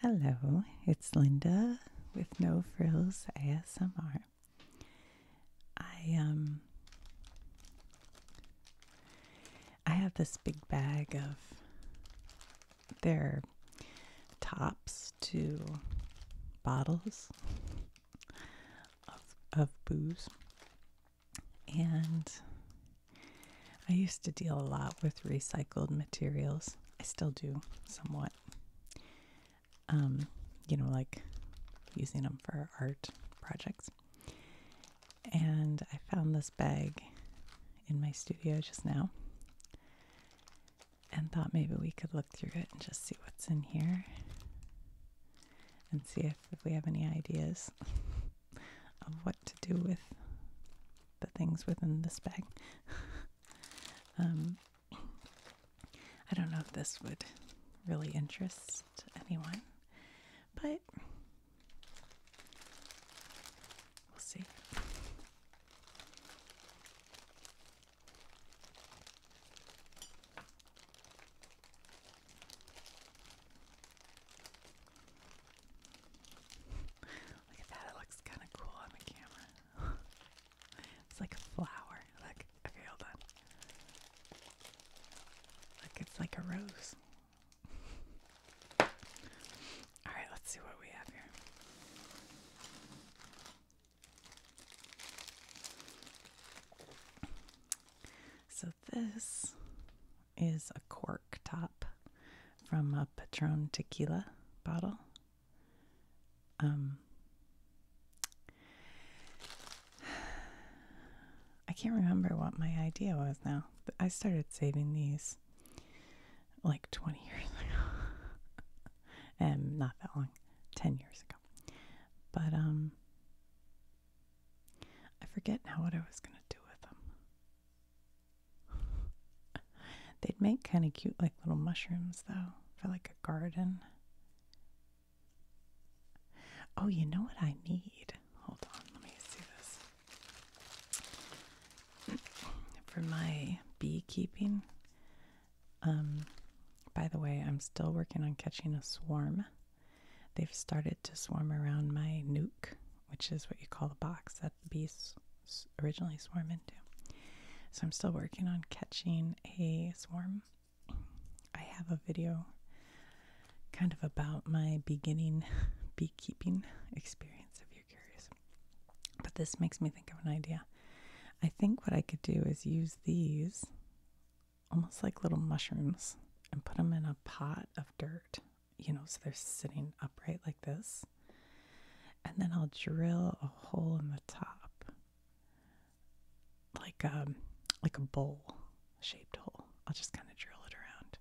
Hello, it's Linda with No Frills ASMR. I um I have this big bag of their tops to bottles of of booze. And I used to deal a lot with recycled materials. I still do somewhat. Um, you know, like using them for art projects. And I found this bag in my studio just now and thought maybe we could look through it and just see what's in here and see if, if we have any ideas of what to do with the things within this bag. Um, I don't know if this would really interest anyone, but we'll see. Look at that, it looks kind of cool on the camera. it's like a flower. Look, okay, hold on. Look, it's like a rose. Alright, let's see what we have here. So, this is a cork top from a Patron tequila bottle. Um, I can't remember what my idea was now. I started saving these like 20 years ago. and not that long, 10 years ago. But um, I forget now what I was going to do with them. They'd make kind of cute, like little mushrooms, though, for like a garden. Oh, you know what I need? Hold on, let me see this. for my beekeeping, um, by the way, I'm still working on catching a swarm. They've started to swarm around my nuke, which is what you call a box that the bees originally swarm into. So I'm still working on catching a swarm. I have a video kind of about my beginning beekeeping experience if you're curious. But this makes me think of an idea. I think what I could do is use these almost like little mushrooms and put them in a pot of dirt you know, so they're sitting upright like this. And then I'll drill a hole in the top, like um, like a bowl shaped hole. I'll just kind of drill it around,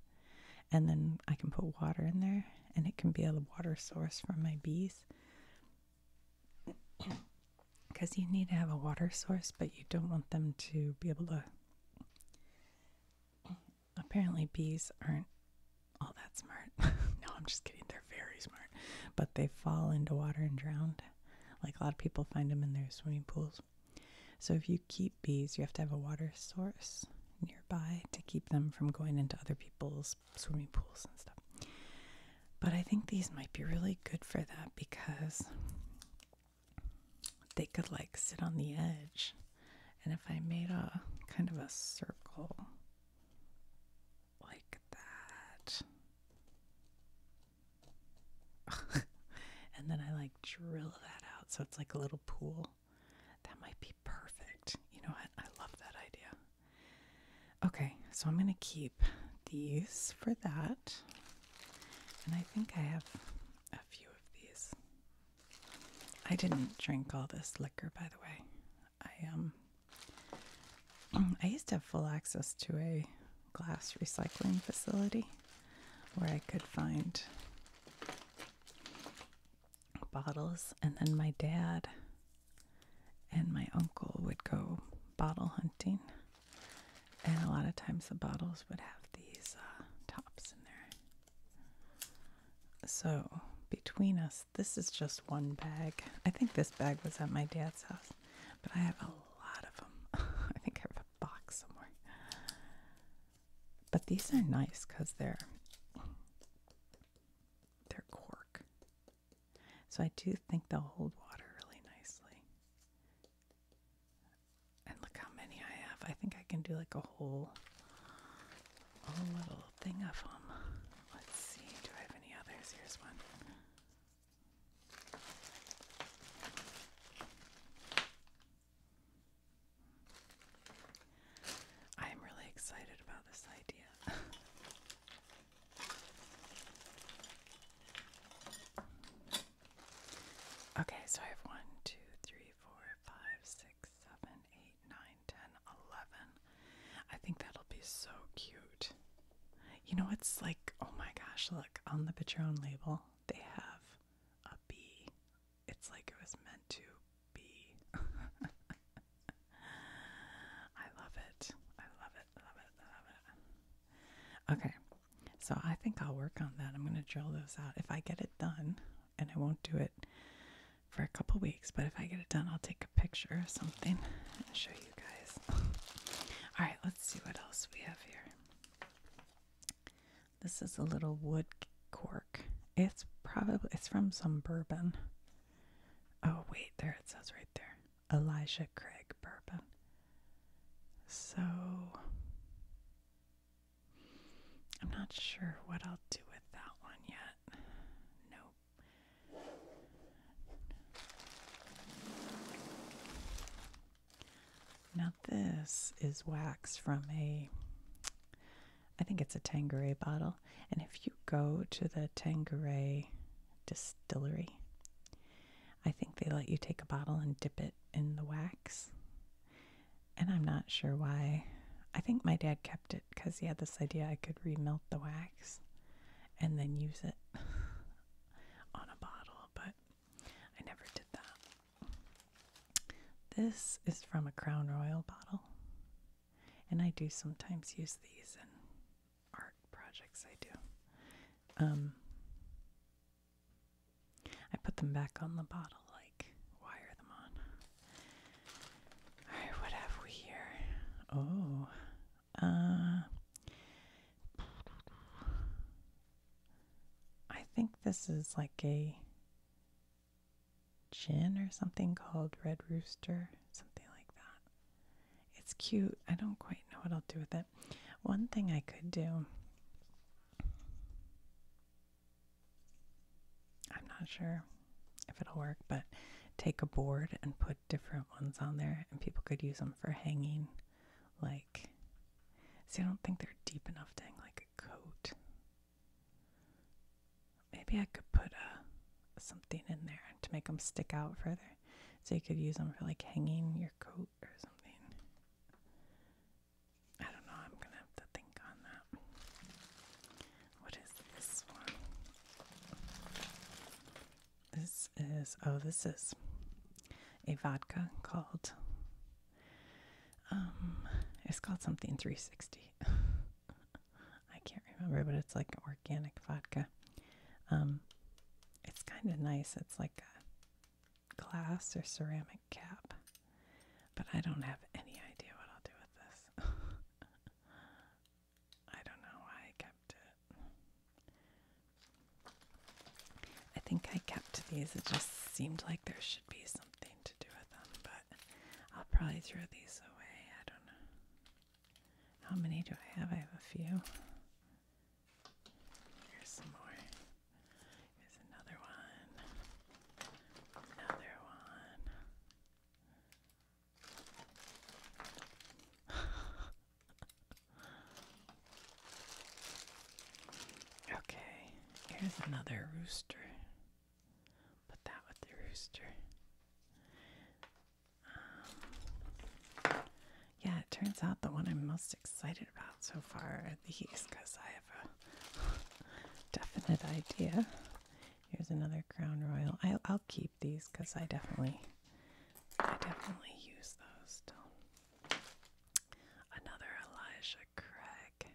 and then I can put water in there, and it can be a water source for my bees. Because you need to have a water source, but you don't want them to be able to apparently bees aren't all that smart. no, I'm just kidding. They're very smart. But they fall into water and drown. Like a lot of people find them in their swimming pools. So if you keep bees, you have to have a water source nearby to keep them from going into other people's swimming pools and stuff. But I think these might be really good for that because they could like sit on the edge and if I made a kind of a circle like that, and then I like drill that out so it's like a little pool, that might be perfect. You know what? I love that idea. Okay, so I'm going to keep these for that. And I think I have a few of these. I didn't drink all this liquor, by the way. I um, I used to have full access to a glass recycling facility where I could find bottles, and then my dad and my uncle would go bottle hunting, and a lot of times the bottles would have these uh, tops in there. So, between us, this is just one bag. I think this bag was at my dad's house, but I have a lot of them. I think I have a box somewhere. But these are nice because they're they're cork. So I do think they'll hold water really nicely. And look how many I have. I think I can do like a whole, whole little thing of them. Let's see, do I have any others? Here's one. I am really excited about this idea. okay, so I have one, two, three, four, 5, I think that'll be so cute. You know, it's like, oh my gosh, look, on the Patron label, they have a B. It's like it was meant to be. I love it. I love it, love it, love it. Okay, so I think I'll work on that. I'm going to drill those out. If I get it done, and I won't do it for a couple weeks, but if I get it done, I'll take a picture of something and show you guys. All right, let's see what else we have here. This is a little wood cork. It's probably it's from some bourbon. Oh wait, there it says right there. Elijah Craig bourbon. So I'm not sure what I'll do with that one yet. Nope. Now, this is wax from a, I think it's a Tangeray bottle. And if you go to the Tangeray distillery, I think they let you take a bottle and dip it in the wax. And I'm not sure why. I think my dad kept it because he had this idea I could remelt the wax and then use it on a bottle, but I never did that. This is from a Crown Royal bottle, and I do sometimes use these in art projects I do. Um, I put them back on the bottle, like wire them on. Alright, what have we here? Oh, uh, I think this is like a gin or something called Red Rooster, something like that. It's cute. I don't quite know what I'll do with it. One thing I could do I'm not sure if it'll work, but take a board and put different ones on there, and people could use them for hanging. Like, see, I don't think they're deep enough to hang like a coat. Maybe I could put a, uh, something in there to make them stick out further, so you could use them for like hanging your coat or something. I don't know, I'm gonna have to think on that. What is this one? This is, oh, this is a vodka called, um, it's called something 360. I can't remember, but it's like organic vodka. Um, it's kind of nice. It's like a glass or ceramic cap. But I don't have any idea what I'll do with this. I don't know why I kept it. I think I kept these. It just seemed like there should be something to do with them, but I'll probably throw these away. I don't know. How many do I have? I have a few. Here's some more. Here's another one. Another one. okay, here's another rooster. Put that with the rooster. Um, yeah, it turns out the one I'm most excited about so far these because I have a definite idea. Here's another Crown Royal. I'll, keep these because I definitely, I definitely use those Another Elijah Craig.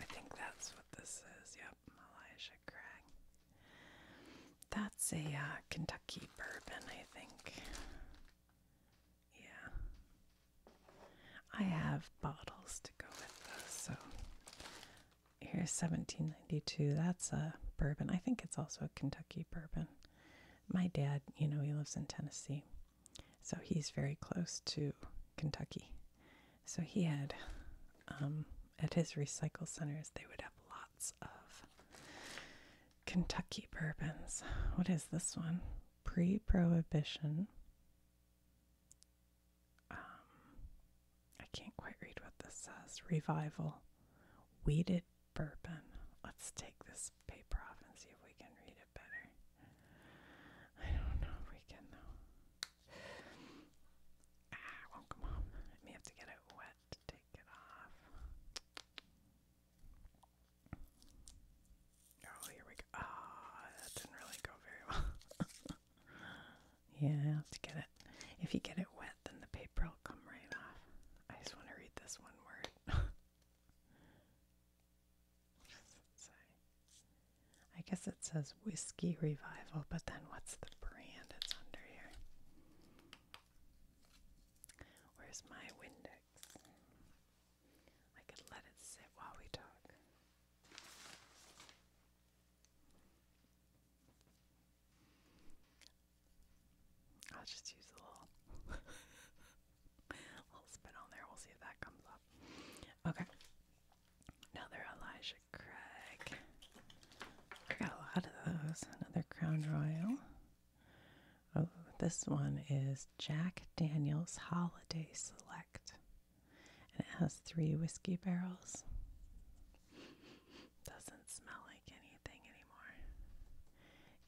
I think that's what this is. Yep, Elijah Craig. That's a uh, Kentucky bourbon, I think. Yeah. I have bottles to go with those. So here's 1792. That's a bourbon. I think it's also a Kentucky bourbon. My dad, you know, he lives in Tennessee. So he's very close to Kentucky. So he had, um, at his recycle centers, they would have of Kentucky bourbons. What is this one? Pre Prohibition. Um, I can't quite read what this says. Revival. Weeded bourbon. Let's take this paper off and see if we can read it better. I don't know if we can, though. Ah, won't come off. I may have to get it wet to take it off. Oh, here we go. Ah, that didn't really go very well. yeah, I have to get it. If you get it wet, then the paper will come right off. I just want to read this one word. I guess it says Whiskey Revival, but then what's the brand it's under here? Where's my Windex? I could let it sit while we talk. I'll just use a little, little spin on there. We'll see if that comes up. Okay. Now Elijah Craig. I got a lot of those. Another Crown Royal. Oh, this one is Jack Daniels Holiday Select. And it has three whiskey barrels. Doesn't smell like anything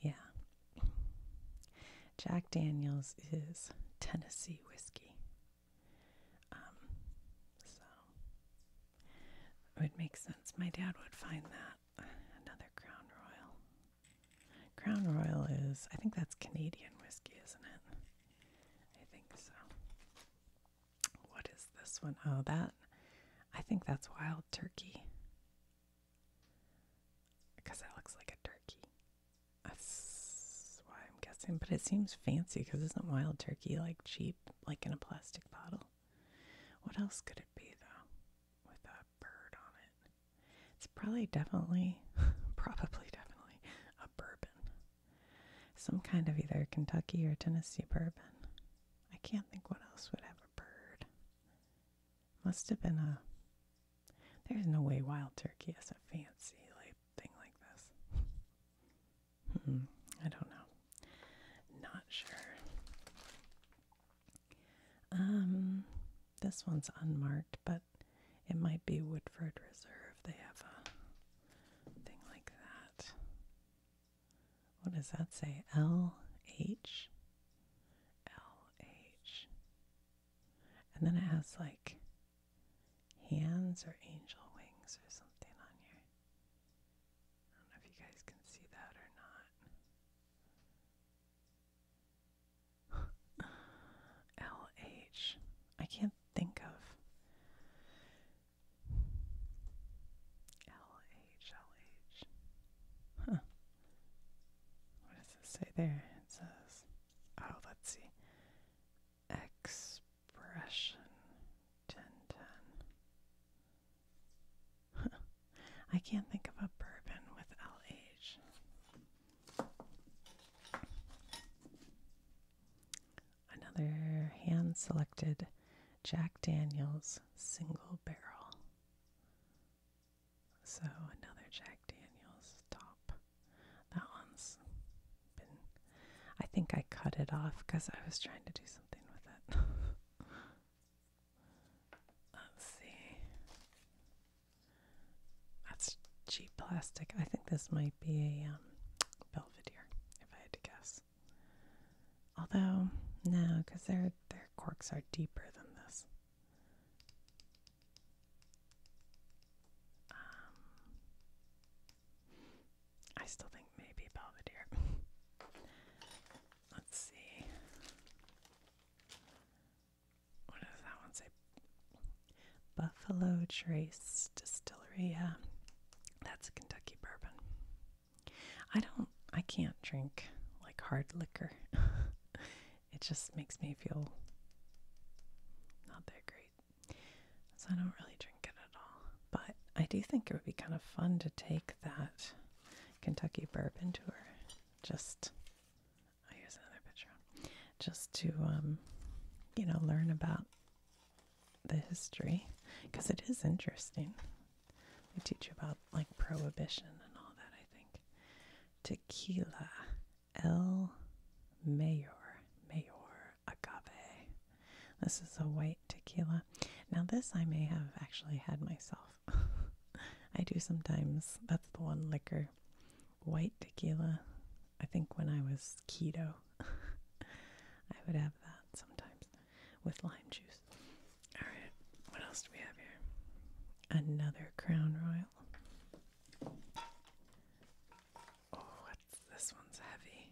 anymore. Yeah. Jack Daniels is Tennessee whiskey. Um, so would make sense. My dad would find that. Another Crown Royal. Crown Royal is, I think that's Canadian whiskey, isn't it? I think so. What is this one? Oh, that, I think that's wild turkey. Because that looks like a turkey. That's why I'm guessing. But it seems fancy because isn't wild turkey like cheap, like in a plastic bottle? What else could it be though? With a bird on it. It's probably definitely probably definitely a bourbon. Some kind of either Kentucky or Tennessee bourbon. I can't think what else would have a bird. Must have been a there's no way wild turkey is a fancy like thing like this. Hmm, I don't know. Not sure. Um, this one's unmarked, but it might be Woodford Reserve. They have a thing like that. What does that say? L H L H. And then it has like hands or angel wings or something on here. I don't know if you guys can see that or not. L can't think of. L H L H. What does it say there? It says, oh, let's see. Expression 1010. I can't think of a bourbon with LH. Another hand selected Jack Daniels single barrel. So another Jack Daniels top. That one's been. I think I cut it off because I was trying to do something Let's see. That's cheap plastic. I think this might be a um, Belvedere, if I had to guess. Although, no, because their their corks are deeper than this. Um, I still think maybe Belvedere. Let's see. What does that one say? Buffalo Trace Distillery. Yeah, that's a Kentucky bourbon. I don't, I can't drink like hard liquor. it just makes me feel not that great. So I don't really drink it but I do think it would be kind of fun to take that Kentucky bourbon tour. Just, i oh, use another picture. Just to, um, you know, learn about the history because it is interesting. They teach you about like prohibition and all that, I think. Tequila, El Mayor, Mayor, agave. This is a white tequila. Now, this I may have actually had myself. I do sometimes. That's the one liquor. White tequila. I think when I was keto, I would have that sometimes with lime juice. Alright, what else do we have here? Another Crown Royal. Oh, what's this one's heavy.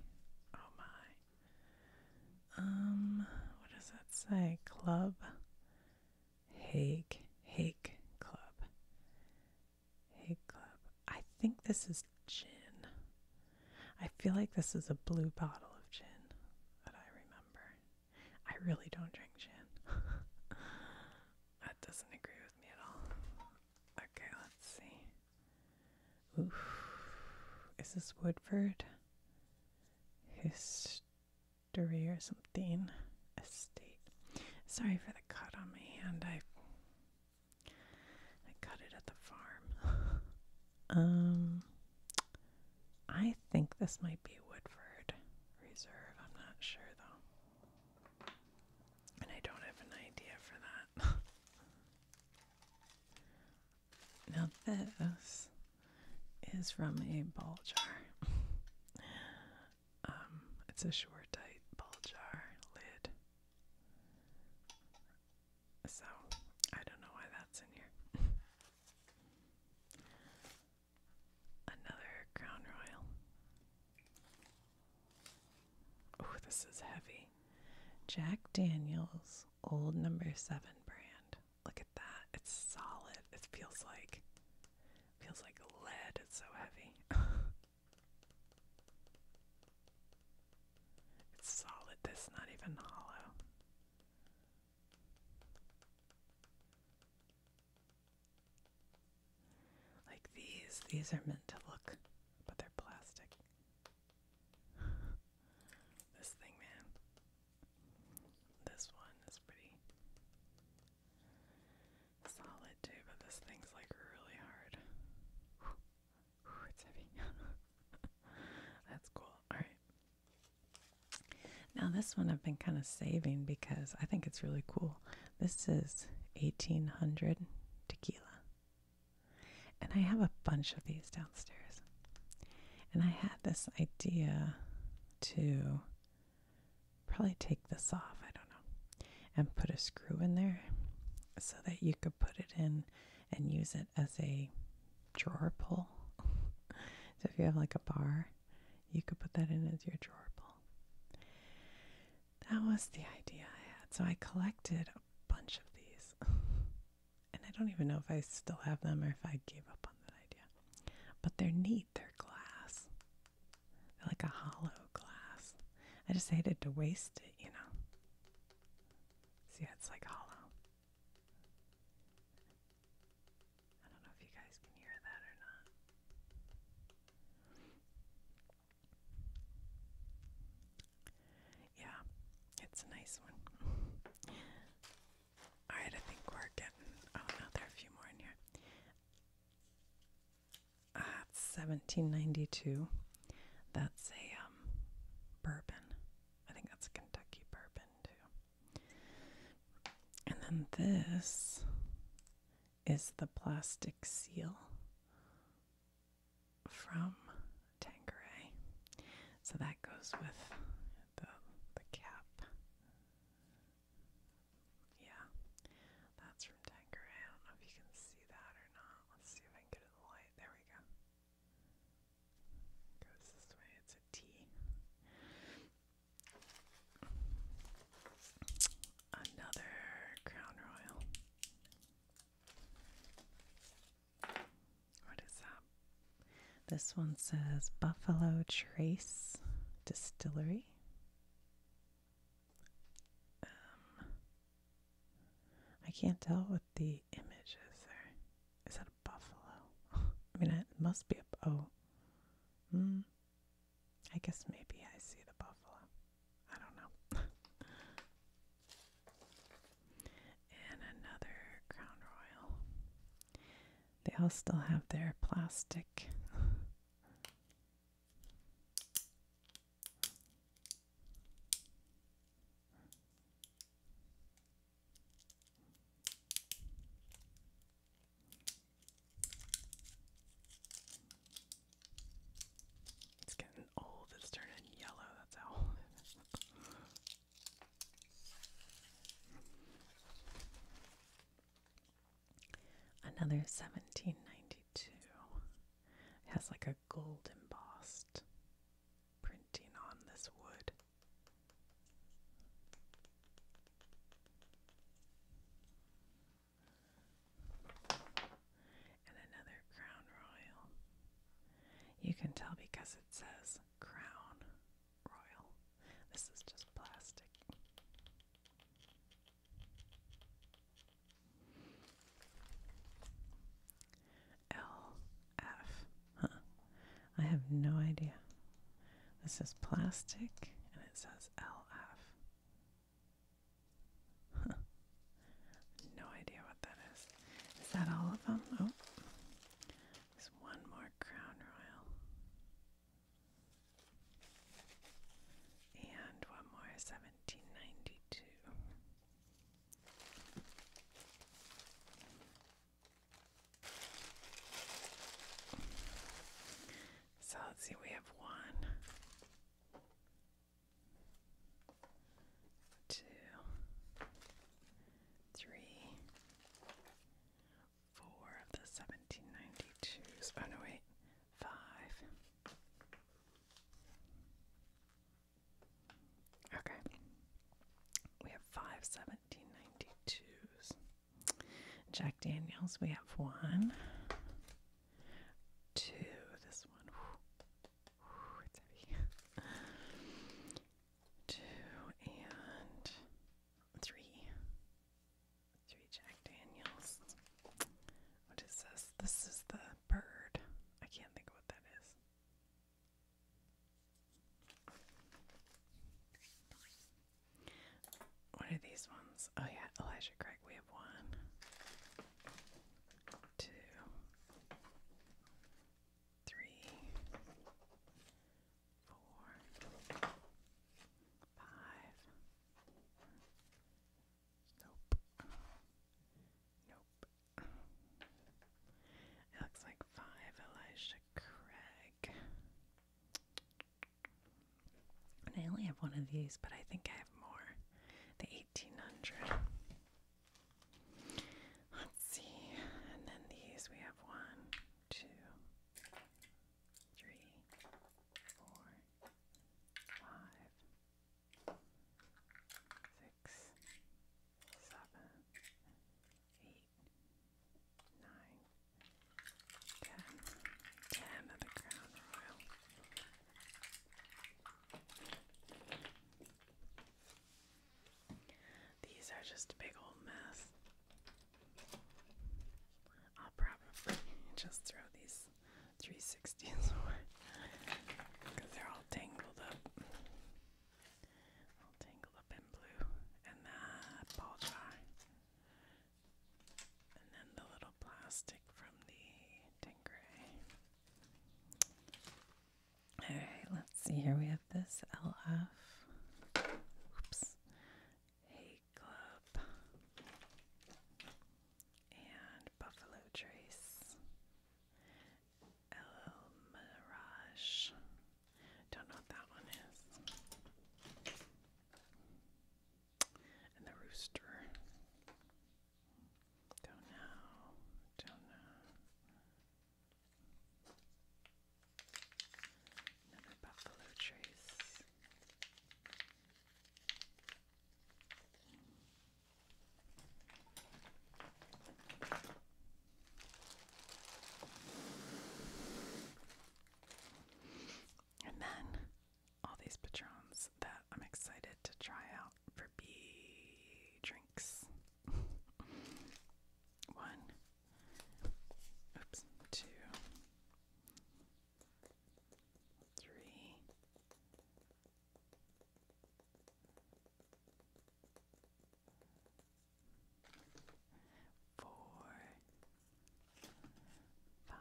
Oh my. Um, what does that say? Club Hague Hague Club. Hague Club. I think this is gin. I feel like this is a blue bottle of gin that I remember. I really don't drink gin. that doesn't agree with me at all. Okay, let's see. Oof. Is this Woodford? History or something? Estate. Sorry for the cut on my hand. I I cut it at the farm. um I think this might be Woodford Reserve. I'm not sure though. And I don't have an idea for that. Now, this is from a ball jar. Um, it's a sure tight ball jar lid. So, I don't know why that's in here. Another Crown Royal. Oh, this is heavy. Jack Daniels Old Number 7 brand. Look at that. It's solid. It feels like feels like lead. It's so heavy. it's solid. This not even hollow. Like these, these are meant to look, but they're plastic this thing, man. This one is pretty solid too, but this thing's like really hard. Whew. it's heavy. That's cool. Alright. Now, this one I've been kind of saving because I think it's really cool. This is 1800 tequila. And I have a bunch of these downstairs. And I had this idea to probably take this off, I don't know, and put a screw in there so that you could put it in and use it as a drawer pull. so if you have like a bar, you could put that in as your drawer pull. That was the idea I had. So I collected a bunch of these. and I don't even know if I still have them or if I gave up on that idea. But they're neat. They're glass. They're like a hollow glass. I just hated to waste it, you know. See, it's like hollow. I don't know if you guys can hear that or not. Yeah, it's a nice one. Alright, I think we're getting. Oh no, there are a few more in here. Ah, uh, 1792. That's a um, bourbon. I think that's a Kentucky bourbon too. And then this is the plastic seal from Tanqueray. So that goes with the the cap. Yeah. That's from Tanqueray. I don't know if you can see that or not. Let's see if I get it in the light. There we go. Goes this way. It's a T. Another Crown Royal. What is that? This one says Buffalo Trace Distillery. Um, I can't tell what the image is there. Is that a buffalo? I mean, it must be a. Oh. Mm, I guess maybe I see the buffalo. I don't know. and another Crown Royal. They all still have their plastic. It's getting old, it's turning yellow, that's how Another 1792. has like a gold embossed printing on this wood and another Crown Royal. You can tell because it says Crown Royal. This is just plastic. LF. Huh. I have no idea. This is plastic and it says LF. No idea what that is. Is that all of them? Oh, there's one more Crown Royal. And one more 1792. So let's see, we have one, two, three, four of the 1792s. Oh, wait, five. Okay, we have five 1792s. Jack Daniels, we have one to this one. ooh, it's heavy. Two and three. Three Jack Daniels. What is this? This is the bird. I can't think of what that is. What are these ones? Oh, yeah, Elijah Craig. We have one, two, three, four, five. Nope. Nope. It looks like five Elijah Craig. I only have one of these, but I think I have more. The Let's see, and then these we have one, two, three, four, five, six, seven, eight, nine, ten. Ten of the Crown Royal. These are just a big old mess. I'll probably just throw these 360s away because they're all tangled up. All tangled up in blue. And that ball jar and then the little plastic from the Dingray. Alright, let's see. Here we have this LF. Oops. Hay Club. And Buffalo Trace. LL Mirage. Don't know what that one is and the rooster. Don't know. Don't know. Another buffalo trace. And then all these patrons that I'm excited to try out for B drinks. One, oops, two, three, four, five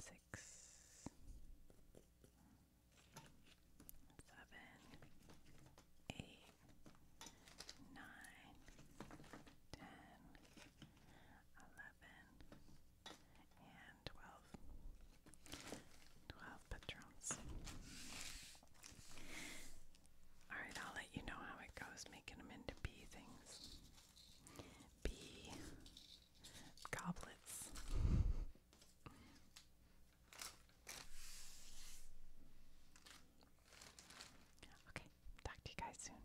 six, seven, eight, nine, ten, eleven, and twelve. Twelve patrons. Alright, I'll let you know how it goes making them into bee things. Bee goblets. Okay, talk to you guys soon.